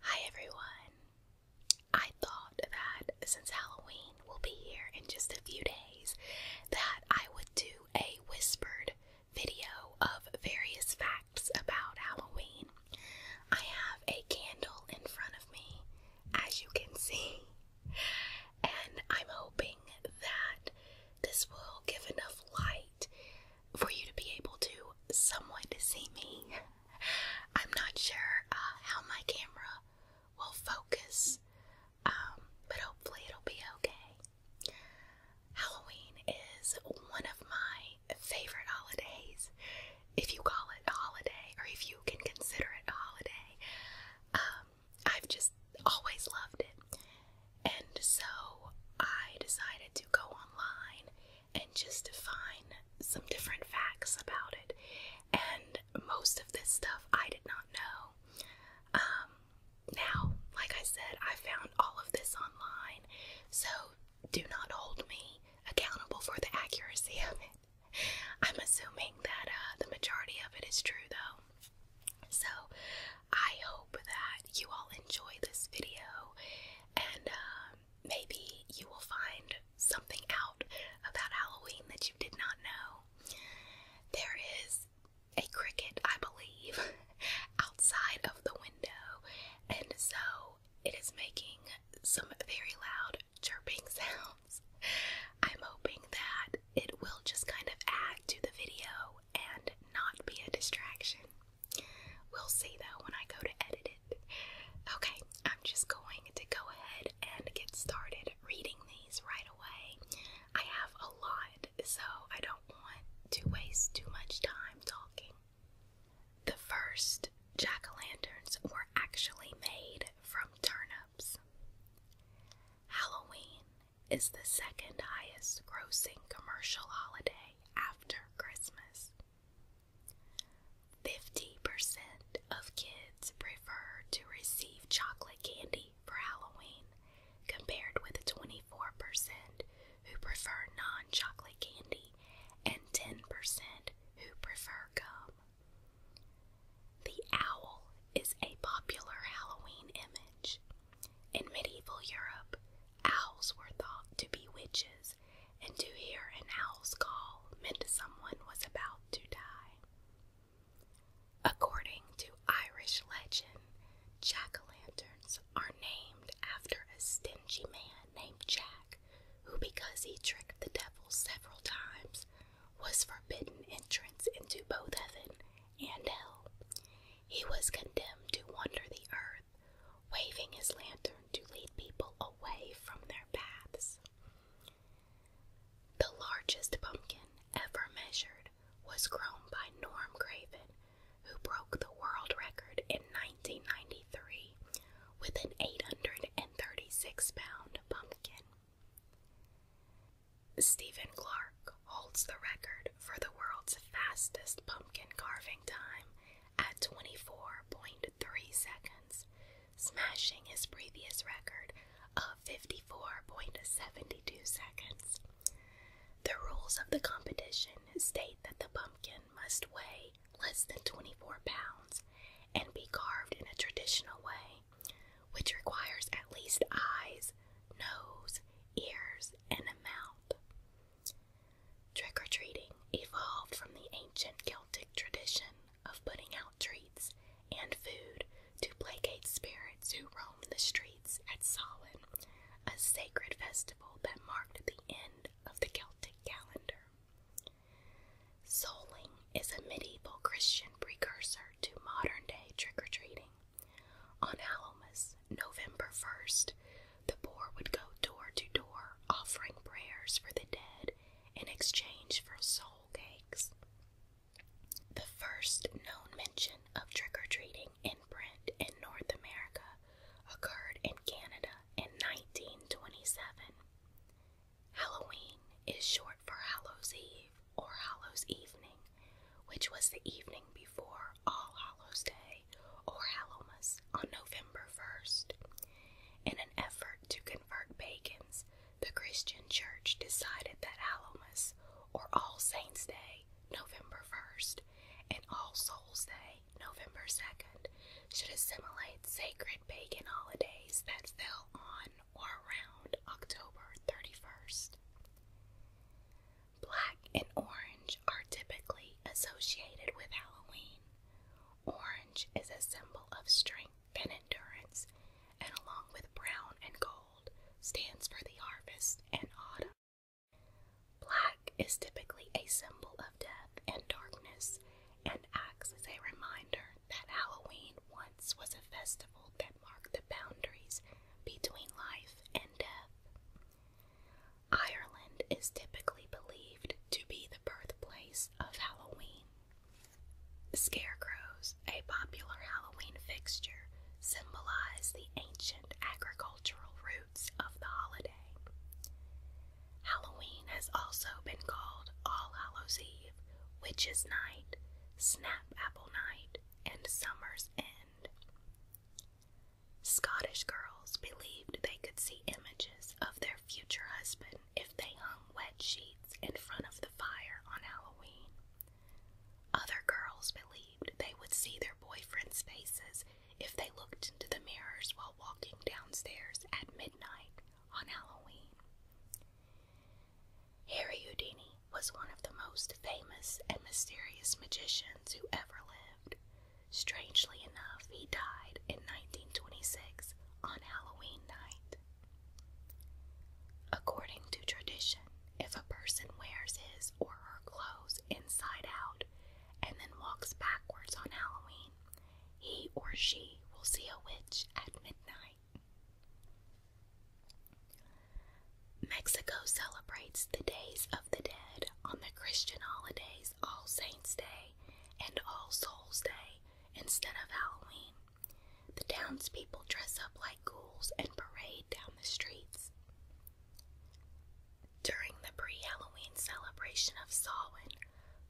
Hi everyone! I thought that since Halloween will be here in just a few days, that I would do a whispered video of various facts about Halloween. I have a candle in front of me, as you can see, and I'm hoping that this will give enough light for you to be able to somewhat see me. I'm not sure uh, how my camera will focus, um, but hopefully it'll be okay. Halloween is one of my favorite holidays, if you call it a holiday, or if you can consider it a holiday. Um, I've just always loved it, and so I decided to go online and just define some different facts about it. And most of this stuff I did not know. Um, now, like I said, I found all of this online, so do not hold me accountable for the accuracy of it. I'm assuming that uh, the majority of it is true, though. So, I hope that you all enjoy this video, and um, maybe you will find something out about Halloween that you did not know. There is a cricket, I believe, outside of the window, and so it is making some very loud chirping sounds. I'm hoping that it will just kind of add to the video and not be a distraction. We'll see though when I go to edit it. Okay, I'm just going to go ahead and get started reading these right away. I have a lot, so I don't want to waste too much time talking. The first jack o' lanterns were actually made from turnips. Halloween is the second highest grossing commercial holiday after Christmas. Fifty percent of kids prefer to receive chocolate candy for Halloween, compared with 24% who prefer non chocolate candy and 10% who prefer gum. The owl is a popular Halloween image. In medieval Europe, owls were thought to be witches and to hear an owl's call meant someone was about to die. According to Irish legend, jack o' lanterns are named after a stingy man named Jack, who, because he tricked the devil several times, was forbidden entrance into both heaven and hell. He was condemned to wander the earth waving his lantern to lead people away from their paths. The largest pumpkin ever measured was grown by Norm Craven, who broke the world record in 1993 with an 836 pound pumpkin. Stephen Clark holds the record for the world's fastest pumpkin carving time at 24.3 seconds, smashing his previous record of 54.72 seconds. The rules of the competition state that the pumpkin must weigh less than 24 pounds and be carved in a traditional way, which requires at least eyes, nose, ears, and a mouth. Trick or treating evolved from the ancient Celtic tradition of putting out treats and food to placate spirits who roamed the streets at Samhain, a sacred festival that marked the end of the Celtic calendar. Soling is a medieval Christian precursor to modern day trick or treating. On Almas, November 1st, the poor would go door to door offering prayers for the dead in exchange for soul cakes. The first known mention of trick or treating in print in North America occurred in Canada in 1927. Halloween is short for Hallows Eve or Hallows Evening, which was the evening before All Hallows Day or Hallowmas on November 1st. In an effort to convert pagans, the Christian Church decided that Alamus, or All Saints' Day, November 1st, and All Souls' Day, November 2nd, should assimilate sacred pagan holidays that fell on or around October 31st. Black and orange are typically associated with Halloween, Orange is a symbol of strength and endurance, and along with brown and gold, stands for the harvest and autumn. Black is typically a symbol of death and darkness and acts as a reminder that Halloween once was a festival that marked the boundaries between life and death. Ireland is typically believed to be the birthplace of Halloween. Scarecrows, a popular Halloween fixture, symbolize the ancient agricultural roots of the holiday. Halloween has also been called All Hallows Eve, Witches' Night, Snap Apple Night, and Summer's End. Scottish girls believed they could see images of their future husband if they hung wet sheets in front of the fire on Halloween. Other girls believed they would see their boyfriends' faces if they looked into the mirrors while walking downstairs at midnight on Halloween. Harry Houdini was one of the most famous and mysterious magicians who ever lived. Strangely enough, he died in 1926 on Halloween night. According to tradition, if a person wears his or her clothes inside out and then walks backwards on Halloween, he or she will see a witch at midnight. Mexico celebrates the Days of the Dead on the Christian holidays All Saints' Day and All Souls' Day instead of Halloween. The townspeople dress up like ghouls and parade down the streets. During the pre Halloween celebration of Samhain,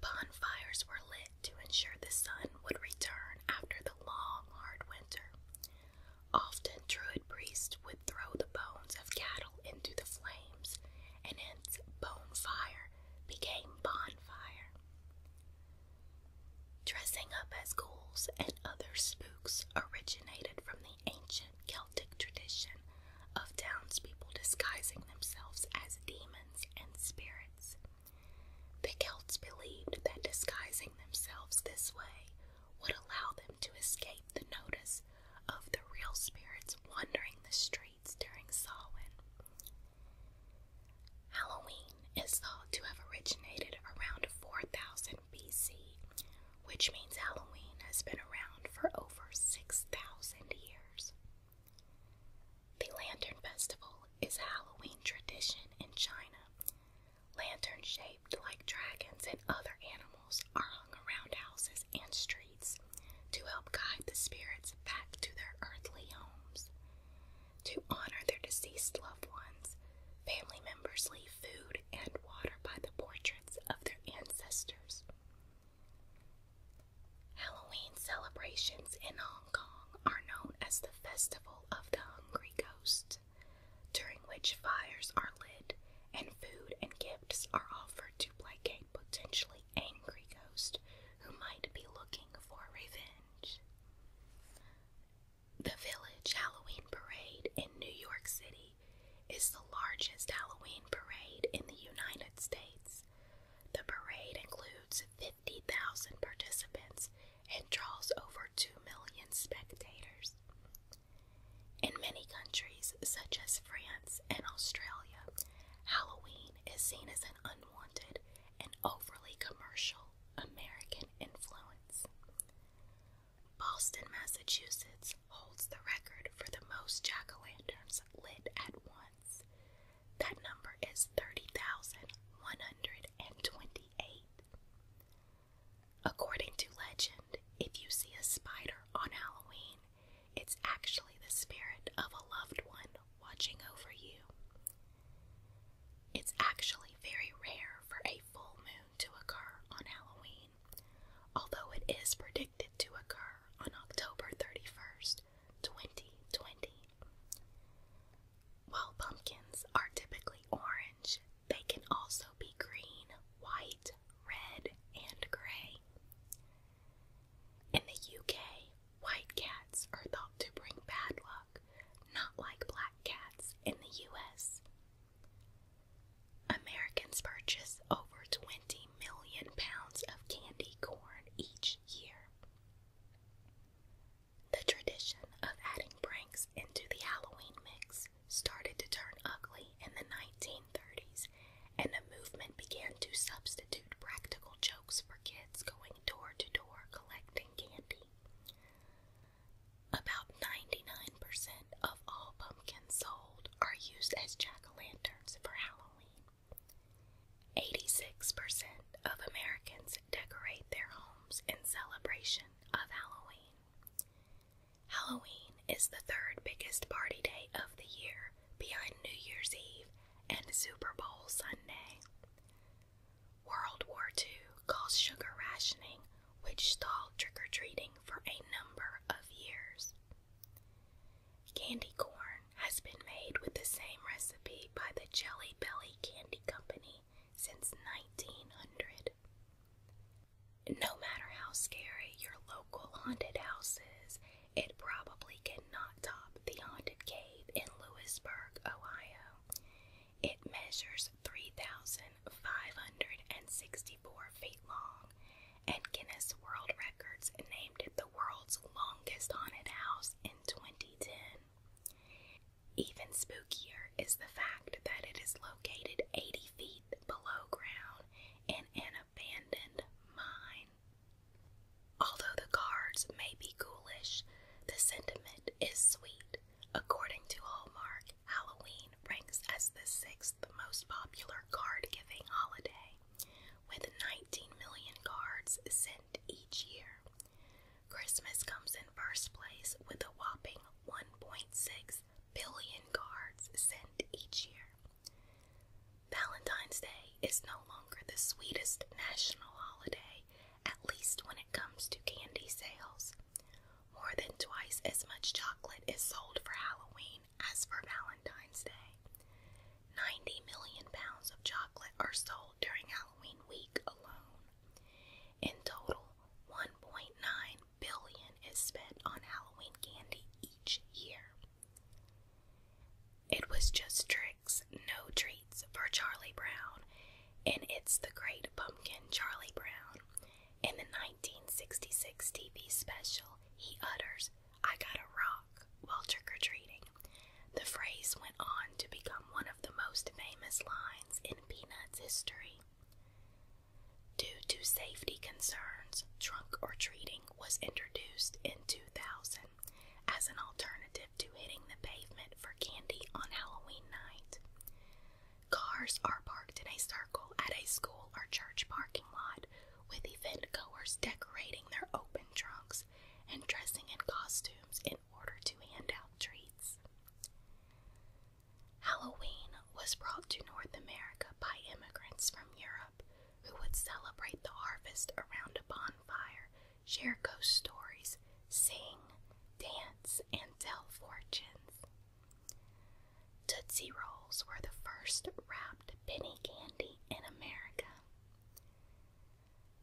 bonfires were lit to ensure the sun would return after the long, hard winter. Often, druid priests would throw the bones of cattle into the flames and hence bonfire became bonfire. Dressing up as ghouls and other spooks originated from the ancient Celtic tradition of townspeople disguising themselves as demons and spirits. The Celts believed that disguising themselves this way would allow them to escape the notice of the real spirits wandering the streets during Samhain. Halloween is thought to have originated around 4000 BC, which means Halloween has been around for over 6000 years. The Lantern Festival is a Halloween tradition in China. Lanterns shaped like dragons and other animals are hung around houses and streets to help guide the spirits back to their earthly homes. To honor their deceased loved ones, family members leave food and water by the portraits of their ancestors. Halloween celebrations in Hong Kong are known as the Festival of the Hungry Ghosts, during which fires are lit and food and gifts are offered to placate potentially angry ghosts who might be looking for revenge. The Village Halloween Parade in New York City is the largest Halloween parade in the United States. The parade includes 50,000 participants and draws over 2 million spectators. In many countries, such as France and Australia, Halloween is seen as an unwanted and overly commercial American influence. Boston, Massachusetts holds the record for the most jack o' lanterns lit at once. That number is 30,128. According to legend, if you see a spider on Halloween, it's actually the spirit of a loved one watching over you. It's actually very rare for a full moon to occur on Halloween, although it is predicted to occur on October 31st, 2020. While pumpkins are typically orange, they can also be green, white, red, and gray. In the UK, white cats are thought to bring bad luck, not like black cats in the US. Americans purchase over 20 million pounds of candy corn each year. The tradition of adding pranks into the Halloween mix started to turn ugly in the 1930s, and a movement began to substitute practical jokes for kids going door to door collecting candy. About 99% of all pumpkins sold are used as jack o' lanterns for Halloween. 86% of Americans decorate their homes in celebration of Halloween. Halloween is the third biggest party day of the year behind New Year's Eve and Super Bowl Sunday. World War II caused sugar rationing, which stalled trick or treating for a number of years. Candy corn has been made with the same recipe by the Jelly Belly Candy Company since 1900. No matter how scary your local haunted house is, it probably cannot top the Haunted Cave in Lewisburg, Ohio. It measures 3,564 feet long, and Guinness World Records named it the world's longest haunted house in 2010. Even spookier is the fact that it is located 80 feet below ground in an abandoned mine Although the cards may be ghoulish, the sentiment is sweet. According to Hallmark, Halloween ranks as the sixth most popular card giving holiday, with 19 million cards sent each year. Christmas comes in first place with a whopping 1.6 billion cards sent each year. Valentine's Day is no longer the sweetest national holiday at least when it comes to candy sales. More than twice as much chocolate is sold for Halloween as for Valentine's Day. 90 million pounds of chocolate are sold during Halloween week alone. In total, 1.9 billion is spent on Halloween candy each year. It was just tricks, no treats for Charlie Brown, and it's the great pumpkin Charlie Brown. In the 1966 TV special, he utters, I got a rock, while trick or treating. The phrase went on to become one of the most famous lines in Peanuts history. Due to safety concerns, trunk or treating was introduced in 2000 as an alternative to hitting the pavement for candy on Halloween night. Cars are parked in a circle at a school or church parking lot, with event goers decorating their open trunks and dressing in costumes in order to hand out treats. Halloween was brought to North America by immigrants from Europe who would celebrate the harvest around a bonfire share ghost stories, sing, dance, and tell fortunes. Tootsie Rolls were the first wrapped penny candy in America.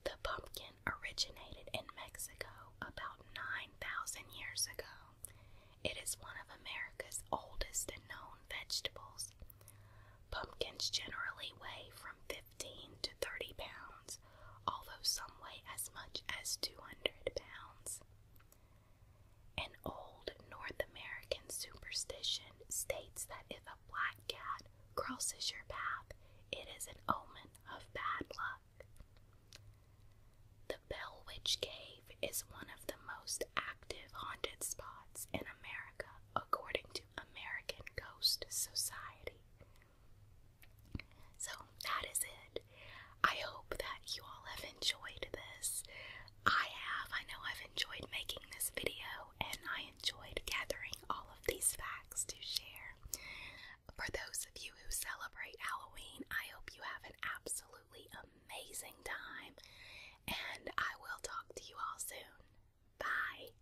The pumpkin originated in Mexico about 9,000 years ago. It is one of America's oldest and known vegetables. Pumpkins generally weigh from. 15 to 30 pounds, although some weigh as much as 200 pounds. An old North American superstition states that if a black cat crosses your path, it is an omen of bad luck. The Bell Witch Cave is one of the most active haunted spots in America, according to American Ghost Society. So that is it. I hope that you all have enjoyed this. I have. I know I've enjoyed making this video and I enjoyed gathering all of these facts to share. For those of you who celebrate Halloween, I hope you have an absolutely amazing time and I will talk to you all soon. Bye.